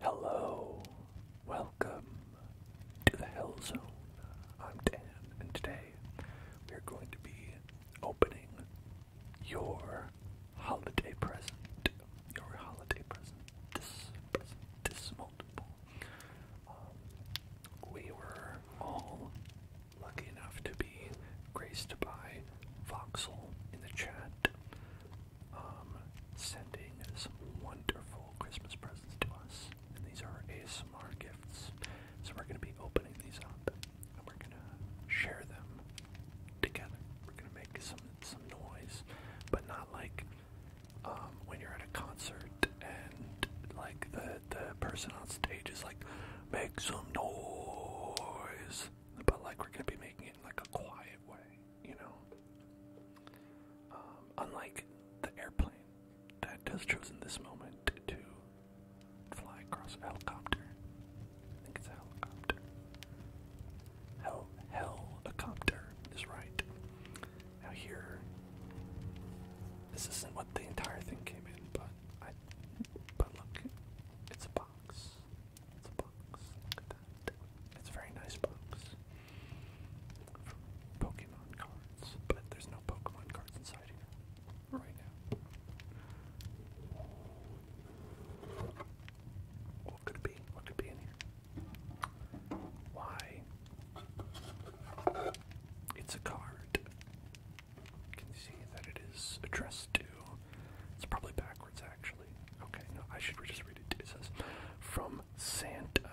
Hello, welcome to the Hell Zone. I'm Dan, and today we're going to be opening your holiday present. Your holiday present. This present, this multiple. Um, we were all lucky enough to be graced by Voxel in the chat um, sending some wonderful Christmas presents to us. And these are ASMR gifts. So we're going to be opening these up and we're going to share them together. We're going to make some, some noise, but not like um, when you're at a concert and like the, the person on stage is like, make some noise. But like we're going to be making it in like a quiet way you know. Um, unlike the airplane that has chosen this moment to fly across a helicopter. I think it's a helicopter. Hel helicopter is right. Now here, this isn't what the entire thing came in, but but look, it's a box. It's a box. Look at that. It's very nice box. Pokemon cards, but there's no Pokemon cards inside here right now. What could it be? What could be in here? Why? It's a card. You can see that it is addressed to. It's probably backwards, actually. Okay, no, I should just read it. It says, From Santa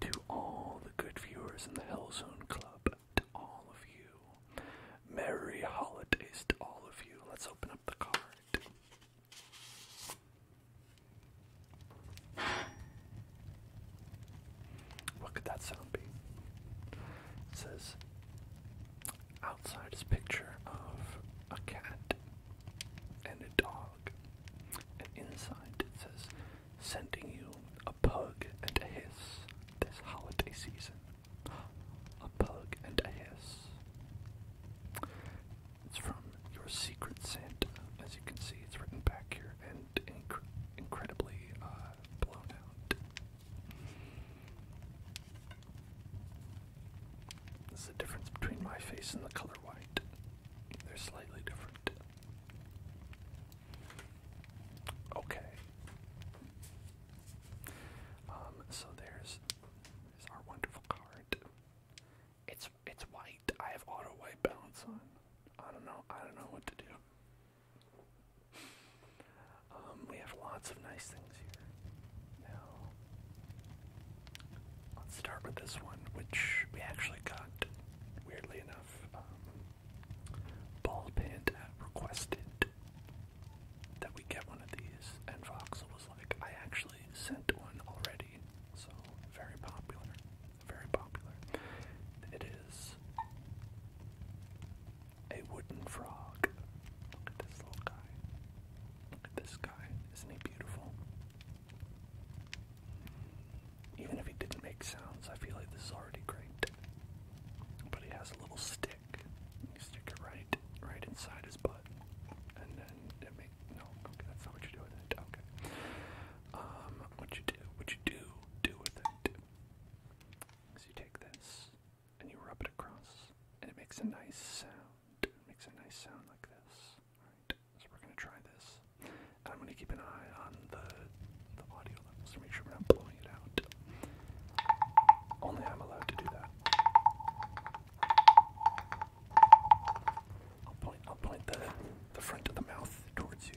to all the good viewers in the Hellzone Club, to all of you. Merry holidays to all of you. Let's open up the card. What could that sound be? It says outside is picture of a cat and a dog. And inside it says, sending you a pug and a hiss this holiday season. A pug and a hiss. It's from Your Secret Santa. As you can see, it's written back here and incredibly uh, blown out. This is the difference between my face and the color white. They're slightly different. Okay. Um, so there's, there's our wonderful card. It's it's white. I have auto white balance on. I don't know. I don't know what to do. Um, we have lots of nice things here. Now, let's start with this one, which we actually got, weirdly enough, um, Ball requested that we get one of these, and Foxel was like, I actually sent one already, so very popular, very popular. It is a wooden frog. Look at this little guy. Look at this guy. Isn't he beautiful? Even if he didn't make sounds, I feel like this is already great. But he has a little stick. You stick it right, right inside his butt, and then it make no. Okay, that's not what you do with it. Okay. Um, what you do? What you do? Do with it? Is you take this and you rub it across, and it makes a nice sound. It makes a nice sound like this. All right. So we're gonna try this. And I'm gonna keep an eye on the the audio levels to make sure we're not blowing it out. Only I'm allowed to do that. I'll point I'll point the the front of the mouth towards you.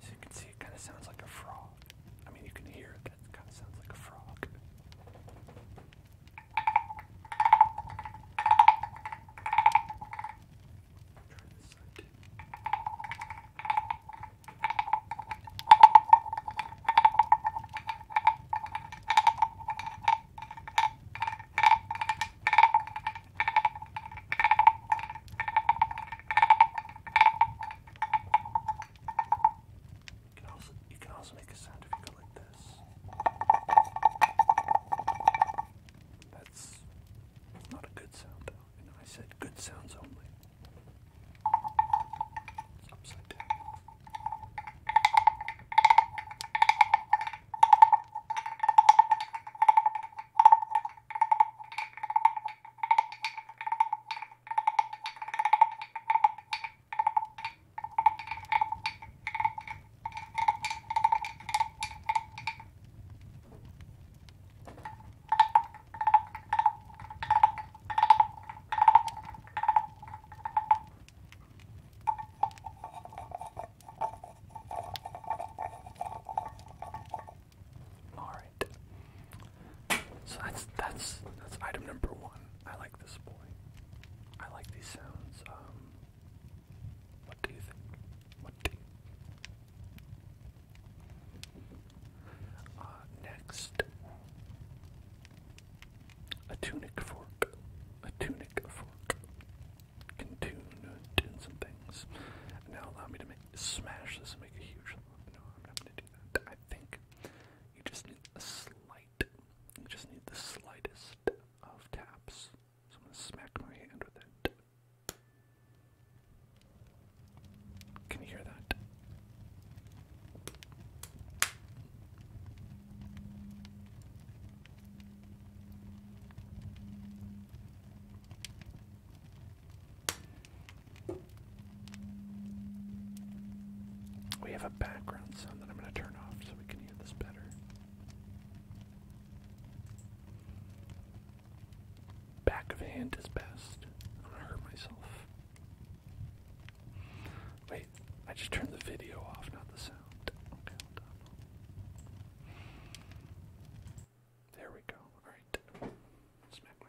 So you can see it kind of sounds like a frog. I mean, you can hear it, that kind of sounds like a frog. Try this side. You can also, you can also make a sound if you go like this. That's, that's not a good sound and I said good sounds only. It's upside down. All right. So that's that's that's item number one. I like this boy. I like these sounds. Um, what do you think? What do uh, next, a tunic fork. A tunic fork can tune, tune some things. Now allow me to smash this and make a huge. No, I'm not going to do that. I think you just need a slight. You just need the slightest of taps. So I'm going to smack my hand with it. Can you hear that? We have a background sound that I'm going to turn off so we can hear this better. Back of hand is best. I'm gonna hurt myself. Wait, I just turned the video off, not the sound. Okay, hold There we go. Alright. Smack my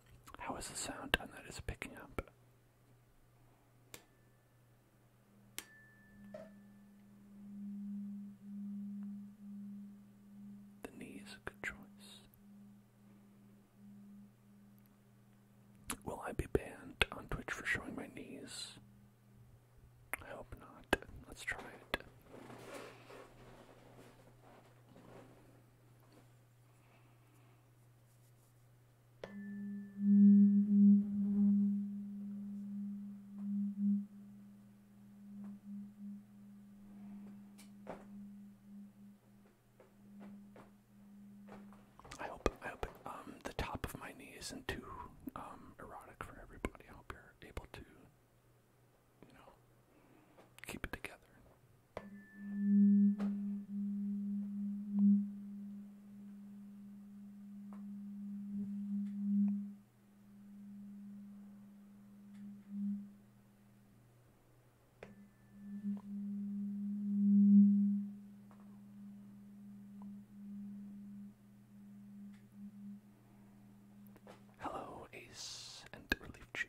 How is the sound And that is picking up? The knee is a good choice. Will I be banned on Twitch for showing my knees? I hope not. Let's try it. I hope I hope um the top of my knee isn't too um erotic for everybody. I hope you're able to keep it together. Hello, Ace and Relief Chief.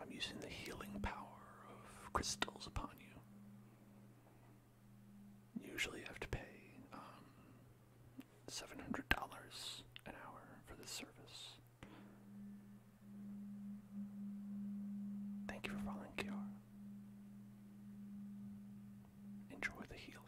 I'm using the healing power of crystals upon you. Usually you have to pay um, $700 an hour for this service. Thank you for following Kiara. Enjoy the healing.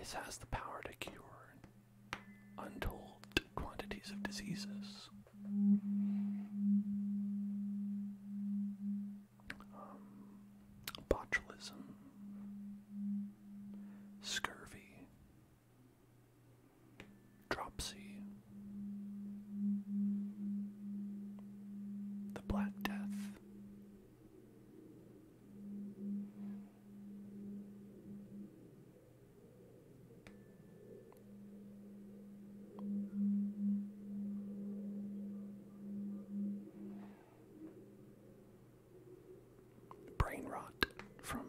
It has the power to cure untold quantities of diseases. Um, botulism, scurvy, dropsy, the Black Death. Brain rot from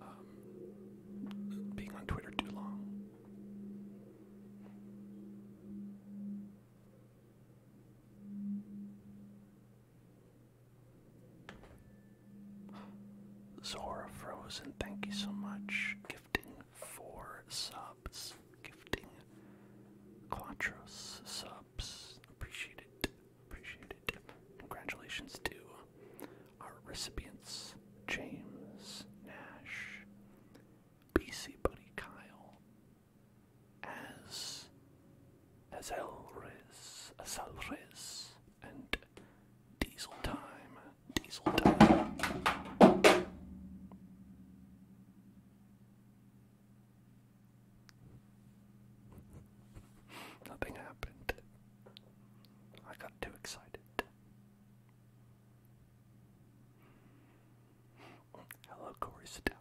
um, being on Twitter too long. Zora Frozen, thank you so much. Gifting four subs, gifting quattro subs. Appreciate it. Appreciate it. Congratulations to our recipients, James Nash, BC Buddy Kyle, as Azelres, Azelres, and Diesel Time, Diesel Time. Nothing happened. I got too excited. Hello, Corey Step.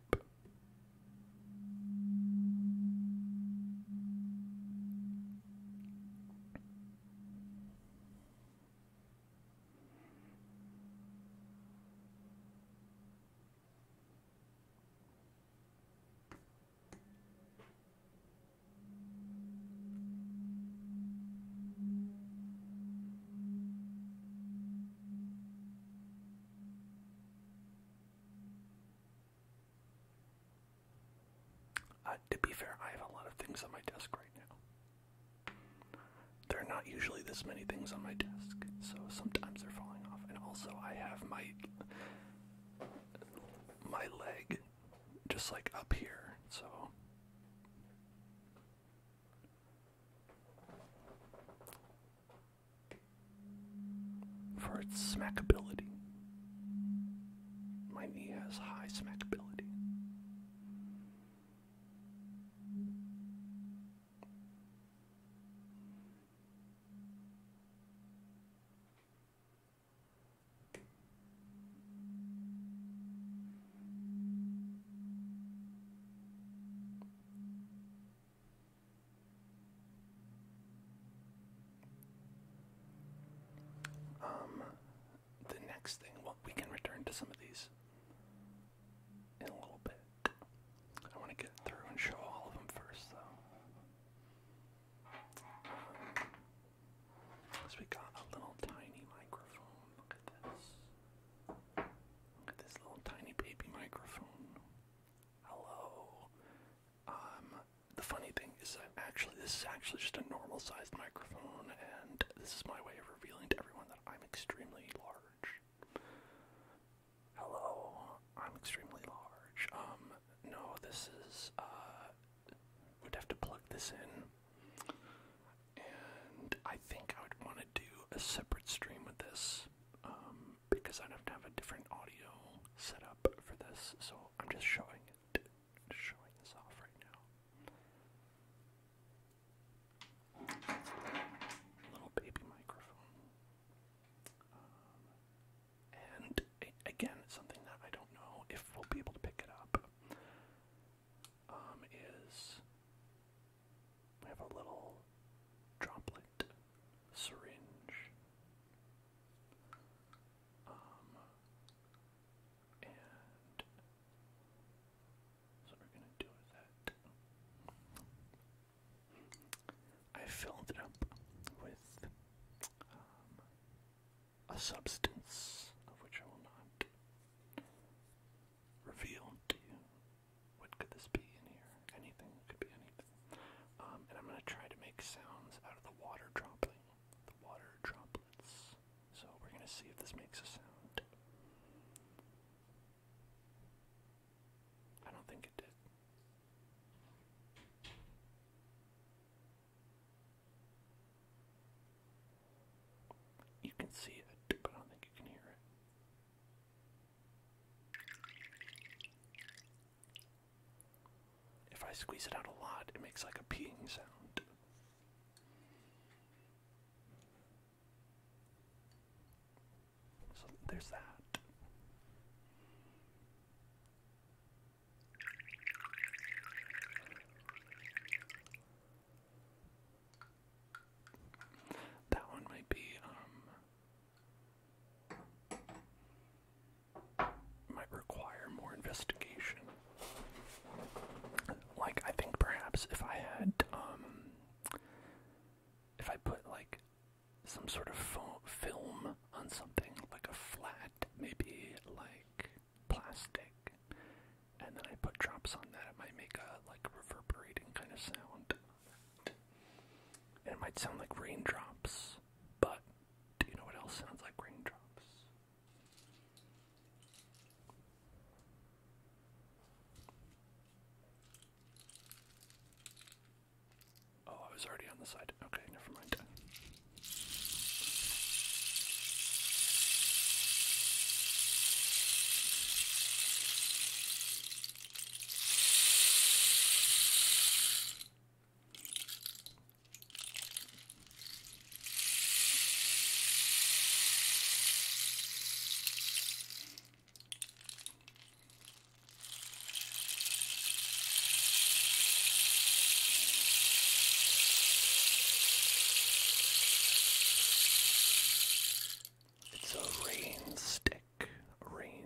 Uh, to be fair, I have a lot of things on my desk right now. There are not usually this many things on my desk, so sometimes they're falling off. And also, I have my my leg just like up here, so for its smackability. My knee has high smackability. Um, the next thing, well, we can return to some of these in a little bit. I want to get through and show all of them first, though. so we got a little tiny microphone. Look at this. Look at this little tiny baby microphone. Hello. Um, the funny thing is, actually this is actually just a normal-sized microphone, and this is my way of revealing to everyone that I'm extremely large. Hello, I'm extremely large. Um, no, this is, uh, have to plug this in. And I think I would want to do a separate stream with this, um, because I'd have to have a different audio setup for this. So I'm just showing it, showing this off right now. Little baby microphone. Um, and again, something that I don't know if we'll be able to pick it up um, is we have a little droplet syringe. Um, and so we're gonna do that. I filled it up with um, a substance of which I will not reveal to you. What could this be in here? Anything. could be anything. Um, and I'm gonna try to make sounds out of the water dropling, the water droplets. So we're gonna see if this makes a sound. I don't think it did. You can see it, but I don't think you can hear it. If I squeeze it out a lot, it makes like a peeing sound. So there's that. That one might be um might require more investigation. Like I think perhaps if I had um if I put like some sort of film on something, like a flat, maybe like plastic, and then I put drops on that, it might make a like reverberating kind of sound. And it might sound like raindrops, but do you know what else sounds like raindrops? Oh, I was already on the side. Okay, never mind. It's a rainstick. stick, a rain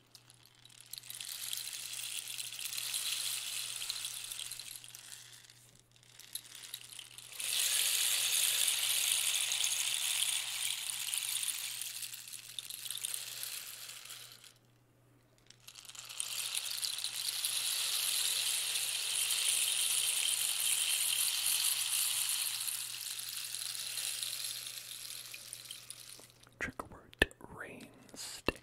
Trigger word rain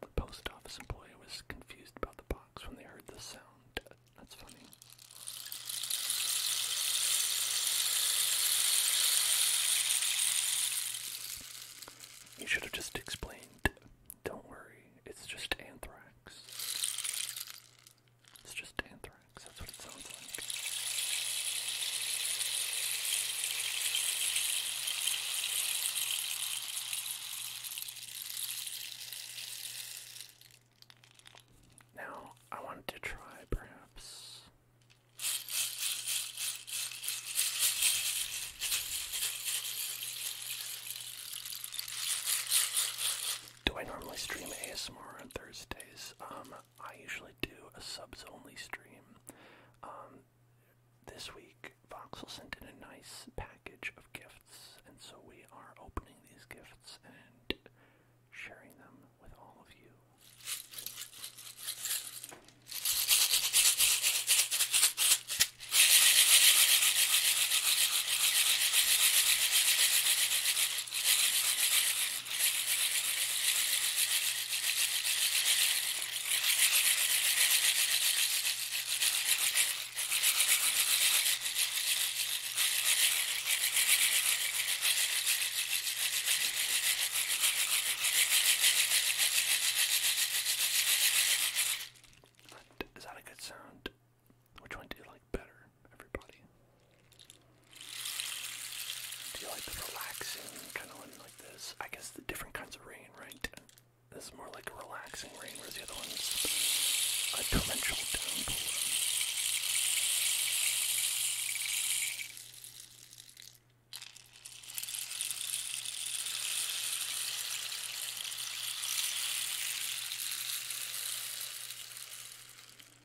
The post office employee was confused about the box when they heard the sound. That's funny. You should have just explained. Don't worry, it's just anthrax. It's just anthrax, that's what it sounds like. Now, I wanted to try perhaps. Do I normally stream ASMR on Thursdays? Um, I usually do a subs only stream. Um, this week, Voxel sent in a nice package of gifts, and so we are opening these gifts and sharing them with all of you. But is that a good sound? Which one do you like better, everybody? Do you like the relaxing kind of one like this? I guess the different kinds of rain, right? This is more like a relaxing rain, Where's the other one's a torrential downpour.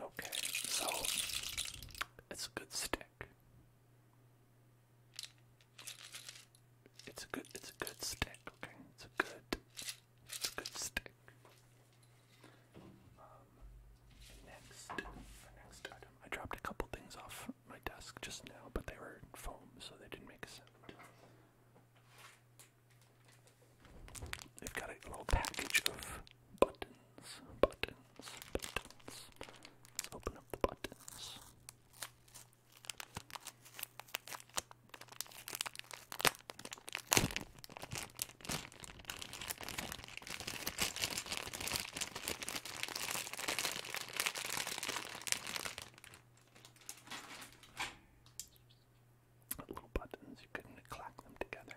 Okay, so it's a good stick. It's a good it's a good stick, okay? It's a good it's a good stick. Um, next next item. I dropped a couple things off my desk just now, but they were foam, so they didn't make a sound. They've got a little package of buttons, buttons, buttons. open up the buttons. Little buttons, you couldn't clack them together.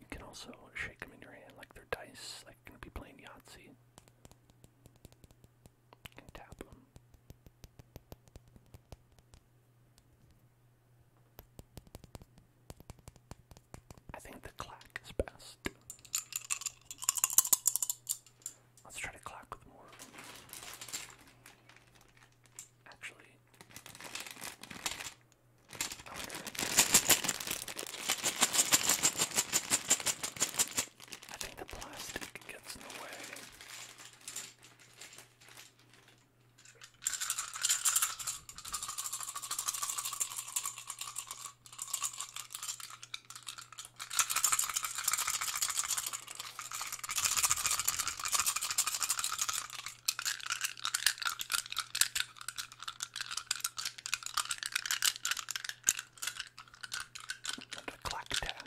You can also shake them in your hand like they're dice, like you're be playing Yahtzee. You can tap them. I think the clack is best. Let's try to clack with more. Actually, I think the plastic gets in the way. And a clack tack.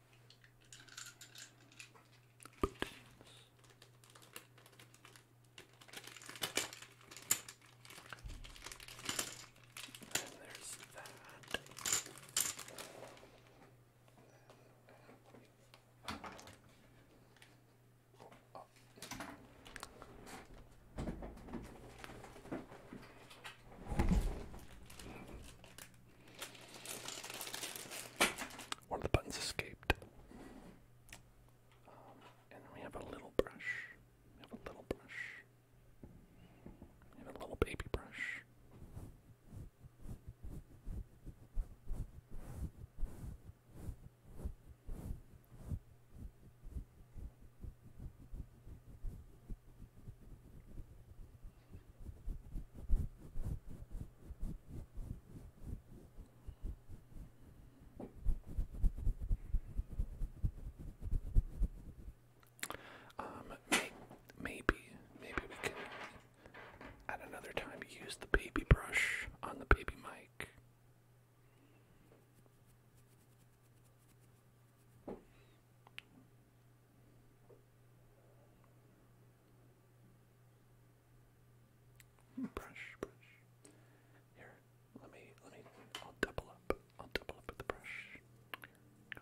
And there's that. Oh. One of the buttons escaped. Um, and we have a little brush. We have a little brush. We have a little baby brush. Um, maybe, maybe we can at another time use the baby brush on the baby mic. Brush, brush. Here, let me, let me, I'll double up. I'll double up with the brush. Here, go.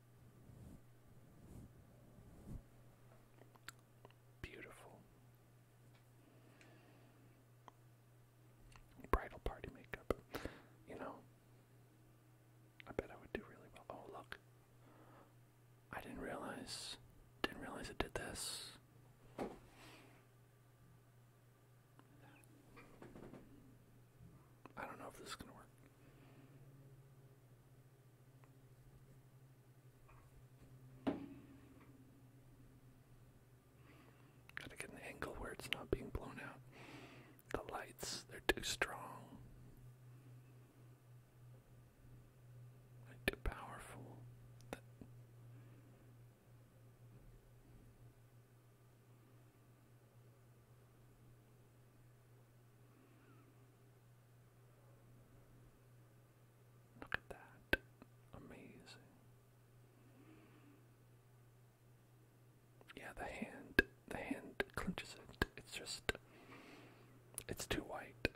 Beautiful. Bridal party makeup. You know, I bet I would do really well. Oh, look. I didn't realize, didn't realize it did this. I don't know if this is gonna work. Gotta get an angle where it's not being blown out. The lights, they're too strong. too powerful. Look at that. Amazing. Yeah, the hand, the hand clinches it. It's just, it's too white.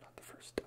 Not the first time.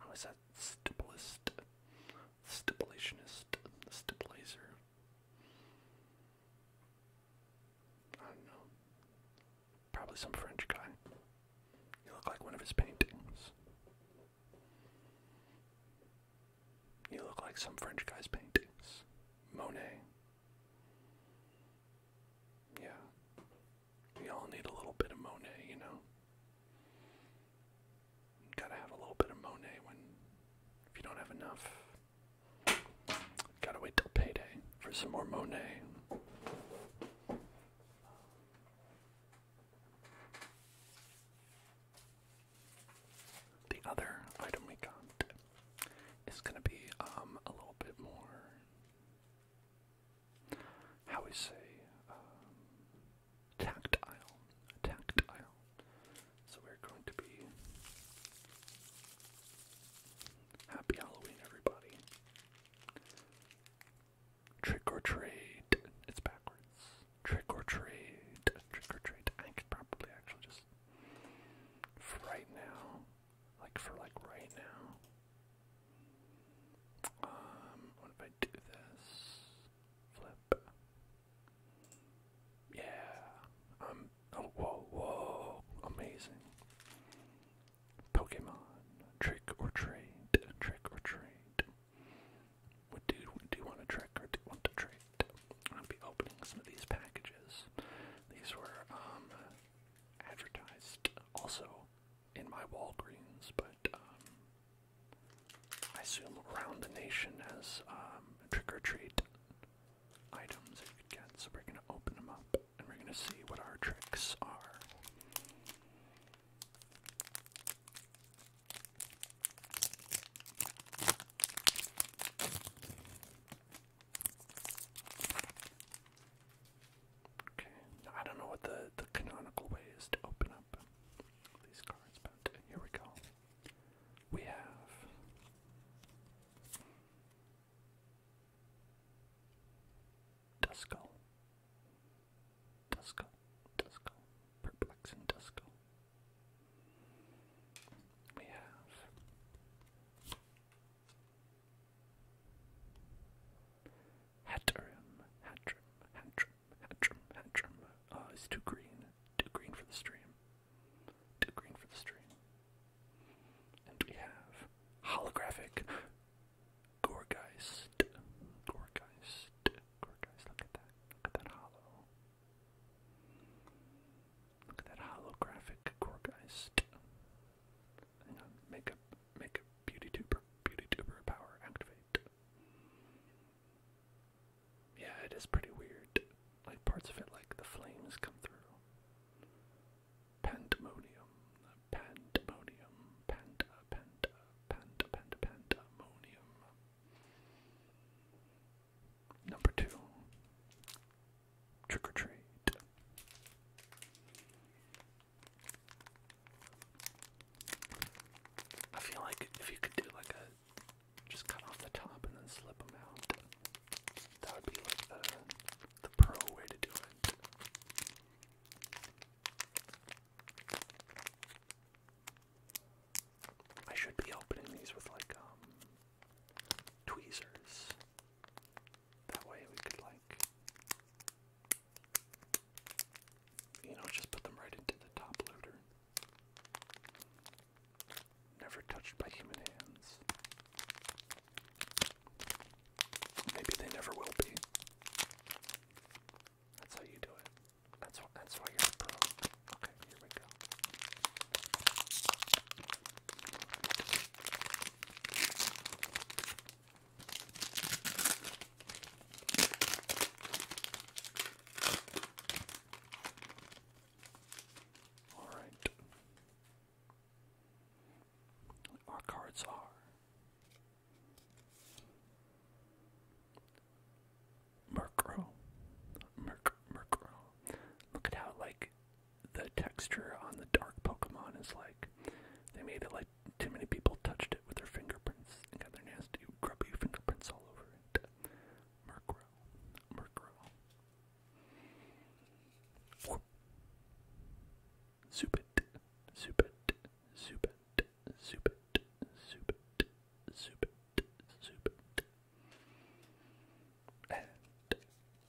I was stipulist, stipulationist, stipulizer. I don't know. Probably some French guy. You look like one of his paintings. You look like some French guy's paintings. Monet. Yeah. We all need a little bit of Monet, you know? Gotta have a little bit of Monet when. If you don't have enough, gotta wait till payday for some more Monet. The other item we got is gonna be um a little bit more how we say, um, tactile, tactile. So we're going to be happy Halloween, everybody. Trick or treat. It's backwards. Trick or treat. Trick or treat. I could probably actually just right now, like for like right now. Um, what if I do this? Flip. Yeah. Um. Oh. Whoa. Whoa. Amazing. Pokemon. Trick or trade. Trick or trade. What do do you want to trick or do you want to trade? I'm be opening some of these packages. These were um advertised also in my Walgreens, but um, I assume around the nation as um, trick or treat items that you could get. So we're gonna open them up and we're gonna see what our tricks are. Okay. I don't know what the, the canonical way is to open up these cards, but here we go. We have Duskull. Duskull. Duskull. Perplexing Duskull. We have Hatterim, Hatterim, Hatterim, Hatterim, Hatterim. Uh, ah, it's too green. Too green for the stream. Too green for the stream. And we have holographic Gorgeist. Gorgeist. Gorgeist. Look at that. Look at that hollow. Look at that holographic Gorgeist. Hang on. Make a, beauty tuber. Beauty tuber power activate. Yeah, it is pretty weird. Like parts of it, like the flames come through. Pandemonium, pandemonium, panda, panda, panda, panda, pandemonium. Number two, trick or treat. I feel like if you could do like a just cut off the top and then slip them out, that would be like the the pro way to do it. I should be opening these with like um, tweezers. That way we could like you know, just put them right into the top loader. Never touched by human hands. Maybe they never will be. That's how you do it. That's That's why you're pro. Okay, here we go. All right. Our cards are Murkrow. Murkrow. Look at how like the texture on the dark Pokemon is like they made it like too many people touched it with their fingerprints and got their nasty, grubby fingerprints all over it. Murkrow. Murkrow. Zubit. Zubit. Zubit. Zubit. Zubit. Zubit. Zubit.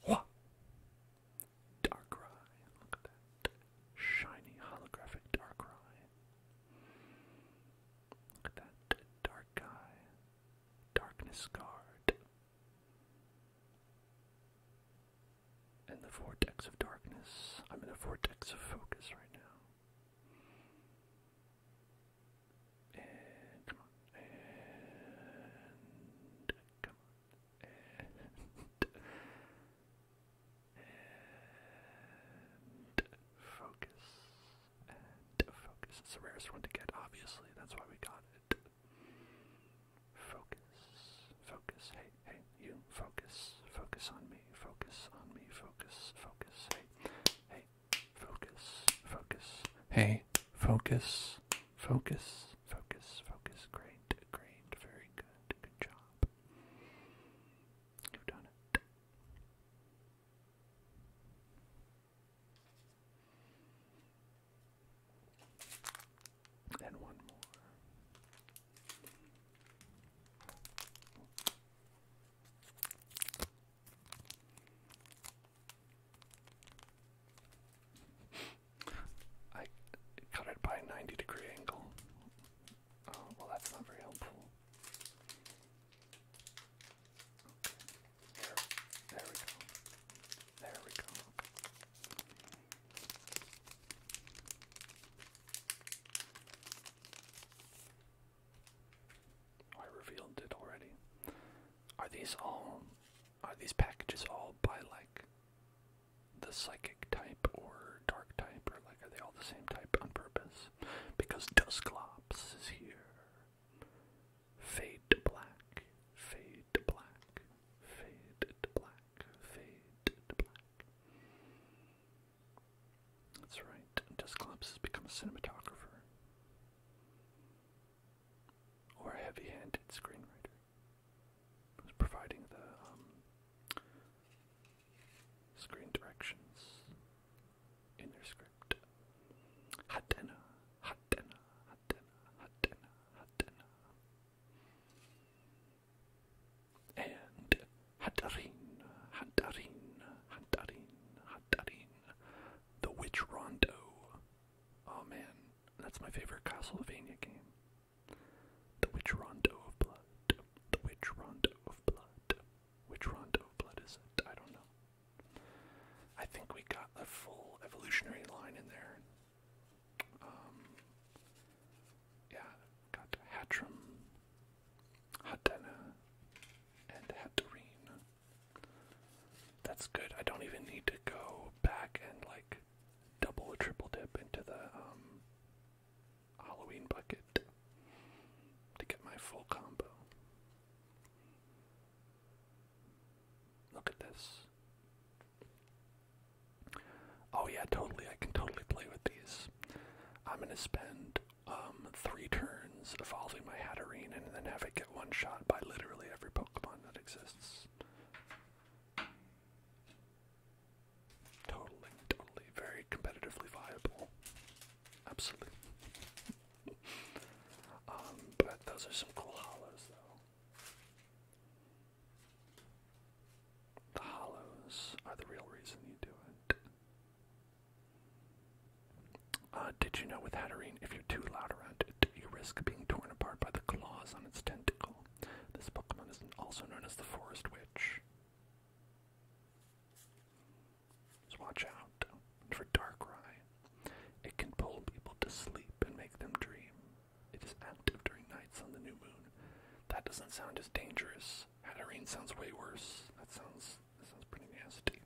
what? Darkrai. Look at that. Shiny holographic Darkrai. That dark eye, darkness scarred. And the vortex of darkness. I'm in a vortex of focus right now. come on. come on. And focus. focus. It's the rarest one to get, obviously. That's why we got it. Focus. Focus. Hey, hey, you. Focus. Focus on me. Focus on me. Focus. Focus. Hey. Hey. Focus. Focus. Hey. Focus. Focus. Focus. Focus. Great. Great. Very good. Good job. And one more. I cut it by 90 degree angle. Oh, well, that's not very helpful. There, we go. There we go. I revealed it already. Are these all are these packages all by like the psychic type or dark type or like are they all the same type on purpose? Because Dusklops is here. Fade black, fade black, fade black, fade black. That's right, Dusclops has become a cinematographer. Or a heavy handed screenwriter who's providing the um, Screen directions in their script. Hatena, Hatena, Hatena, Hatena, Hatena. And Hatarin, Hatarin, Hatarin, Hatarin. The Witch Rondo. Oh man, that's my favorite Castlevania game. The Witch Rondo of Blood. The Witch Rondo of Blood. Which Rondo blood is it? I don't know. I think we got a full evolutionary line in there. Um, yeah, got Hatrim, Hatena, and Hatterene. That's good. I don't even need to go back and like double or triple dip into the um, Halloween bucket to get my full combo. Look at this. Oh yeah, totally. I can totally play with these. I'm gonna spend um, three turns evolving my Hatterene and then have it get one shot by literally every Pokemon that exists. Totally, totally, very competitively viable. Absolutely. Um, but those are some cool hollows, though. The hollows are the real reason you do it. Uh, did you know with Hatterene, if you're too loud around it, you risk being torn apart by the claws on its tentacle? This Pokemon is also known as the Forest Witch. Just watch out for Darkrai. It can pull people to sleep and make them dream. It is active during nights on the new moon. That doesn't sound as dangerous. Hatterene sounds way worse. That sounds that sounds pretty nasty.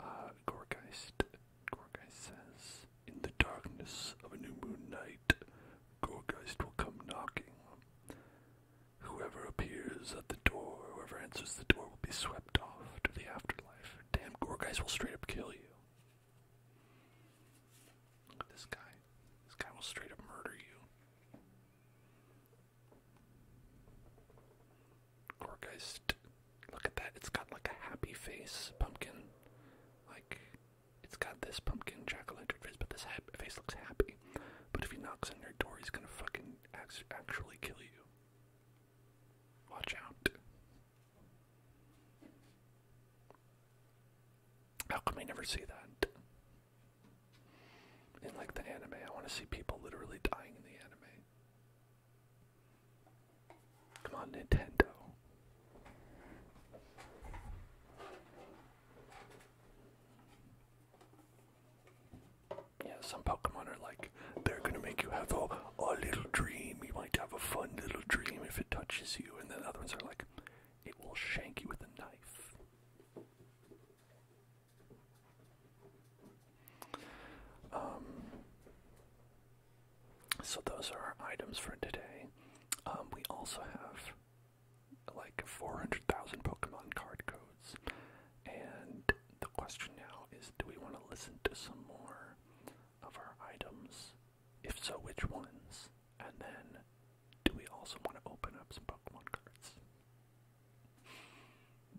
Uh, Gorgeist, says, in the darkness of a new moon night, Gorgeist will come knocking. Whoever appears at the door, whoever answers the door, will be swept off to the afterlife. Damn, Gorgeist will straight up kill you. Look at this guy. This guy will straight up murder you. Gorgeist. Look at that. It's got like a happy face, pumpkin. Like, it's got this pumpkin jack-o'-lantern face, but this face looks happy. But if he knocks on your door, he's gonna fucking actually kill you. Watch out. How come I never see that? In like the anime, I want to see people literally dying in the anime. Come on, Nintendo. Yeah, some Pokemon are like, they're gonna make you have a, a little dream. You might have a fun little dream if it touches you, and then other ones are like, it will shank you with a knife. Um, so those are our items for today. Um, we also have like 400,000 Pokemon card codes. And the question now is do we want to listen to some more of our items? If so, which ones? And then do we also want to open up some Pokemon cards?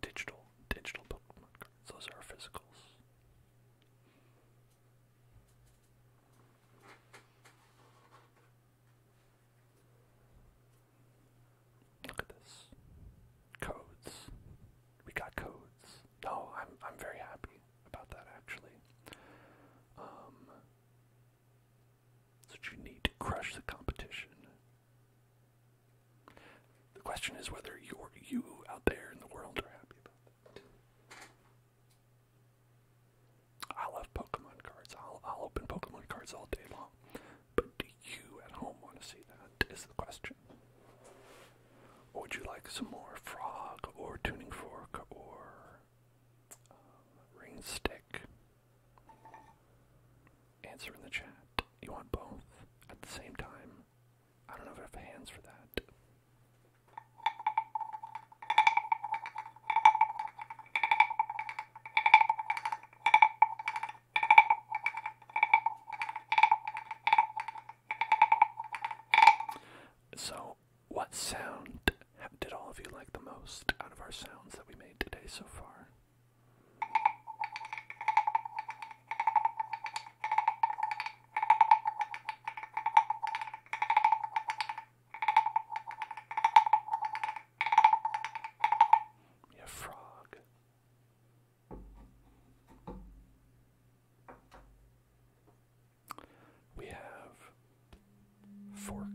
Digital, digital Pokemon cards. Those are our physicals. Look at this. Codes. We got codes. No, I'm I'm very happy about that actually. Um so you need to crush the competition. The question is whether you're you out there in the world are happy about that. I love Pokemon cards. I'll, open Pokemon cards all day long. But do you at home want to see that? Is the question. would you like some more Frog or Tuning Fork or um, Ring Stick? Answer in the chat. You want both at the same time? I don't know if I have hands for that. So, what sound did all of you like the most out of our sounds that we made today so far? Yeah, frog. We have fork.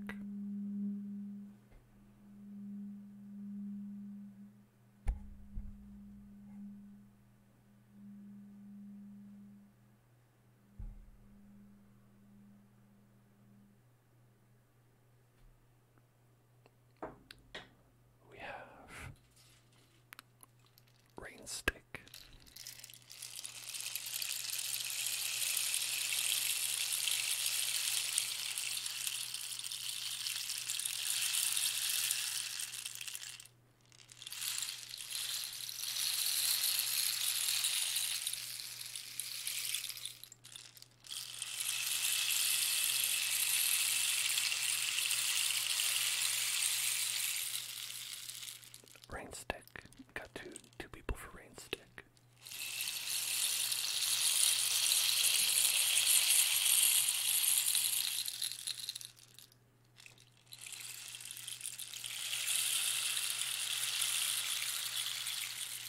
We have Rainstick. Rainstick. Got two two people for Rainstick.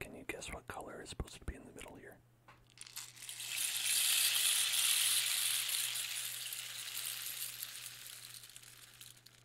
Can you guess what color is supposed to be in the middle here?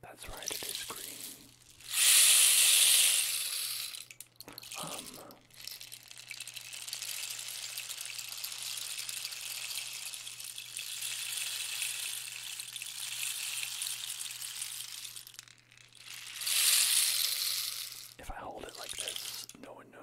That's right, it is green. Um, if I hold it like this, no one knows.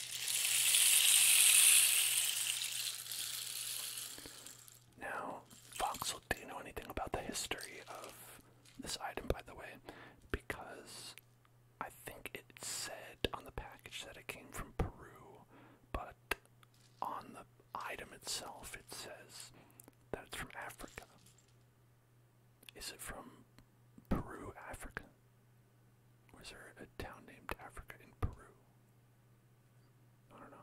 Now, Voxel didn't know anything about the history of this item, by the way, because I think it said on the package that it came from Peru, but on the item itself it says that it's from Africa. Is it from Peru, Africa? Was there a town named Africa in Peru? I don't know.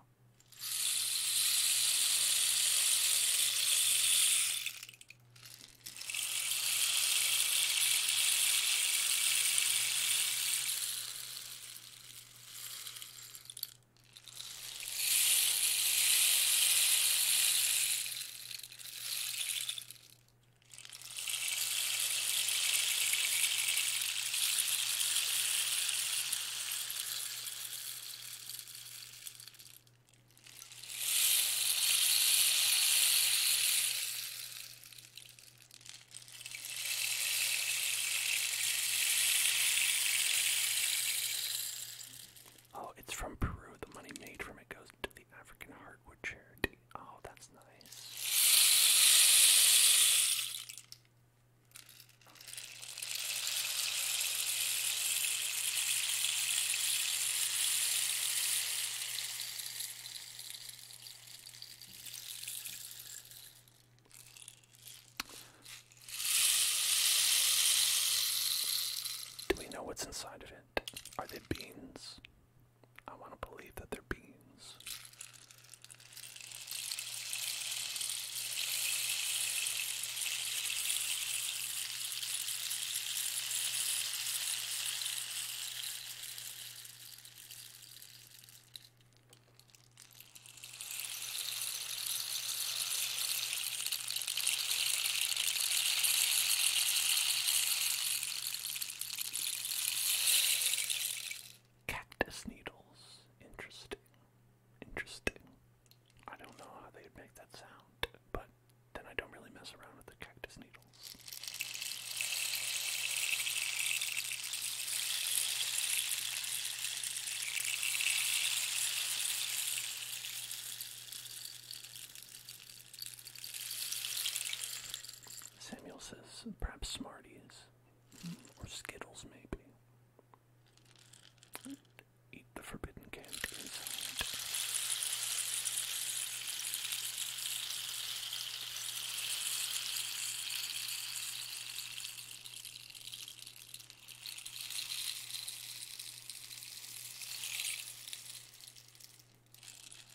Oh, it's from Peru. The money made from it goes to the African Heartwood Oh, that's nice. Do we know what's inside of it? Are they beans? I want to believe that they're beans. Cactus needles. Interesting. Interesting. I don't know how they'd make that sound, but then I don't really mess around with the cactus needles. Samuel says, perhaps Smarties or Skittles maybe. eat the forbidden candy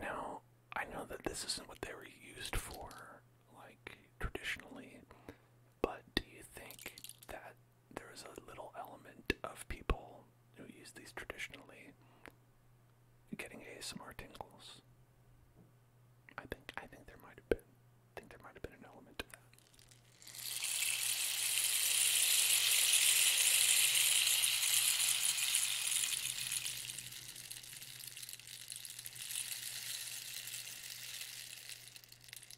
Now, I know that this isn't what they were used for, like traditionally, but do you think that there is a little element of people who use these traditionally getting ASMR tingles? I think I think there might have been. I think there might have been an element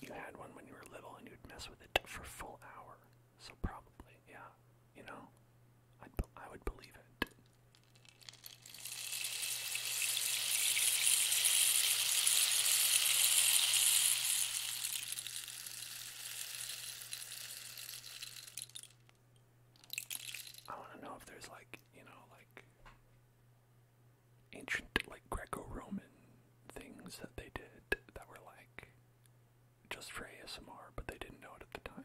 You had one when you were little and you'd mess with it for full hour. So probably, yeah. You know, i I would believe it. I want to know if there's like, you know, like ancient, like Greco-Roman things that they did that were like just for ASMR, but they didn't know it at the time.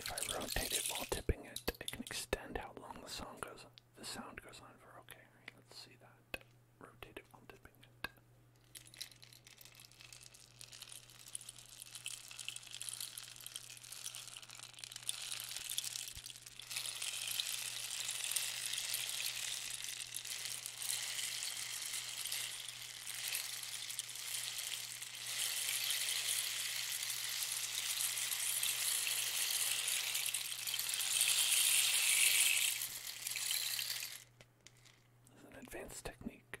If I rotate it while tipping it, it can extend how long the song goes. The sound goes on for okay. Right, let's see that. Rotate it while tipping it. This an advanced technique.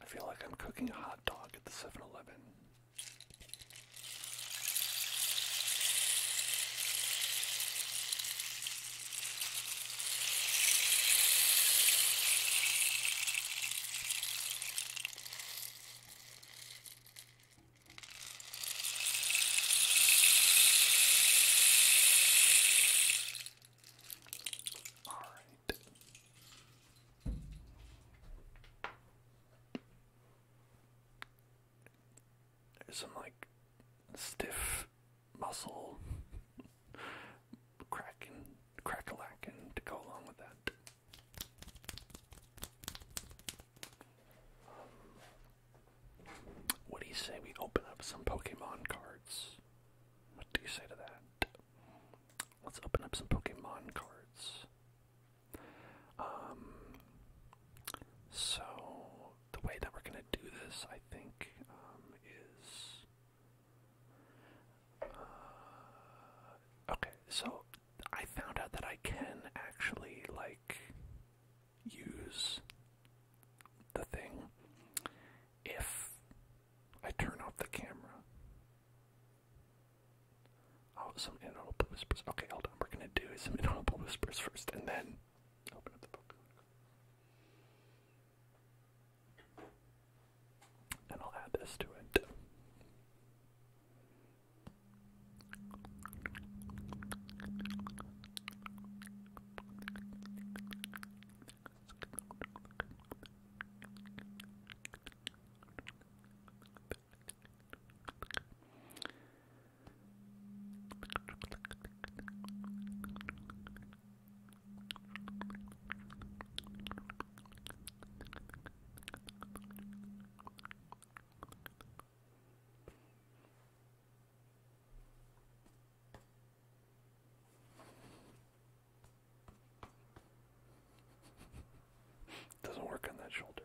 I feel like I'm cooking a hot dog at the 7 Eleven. All right. There's some like stiff muscle cracking, crackalacking to go along with that. Um, what do you say we open up some Pokemon cards? What do you say to that? Let's open up some Pokemon cards. Um, so the way that we're going to do this, I think, um, is. Uh, okay, so I found out that I can actually, like, use the thing if I turn off the camera. Oh, some inaudible whispers. Okay, hold on. We're going to do some inaudible whispers first and then and I'll add this to it. Doesn't work on that shoulder.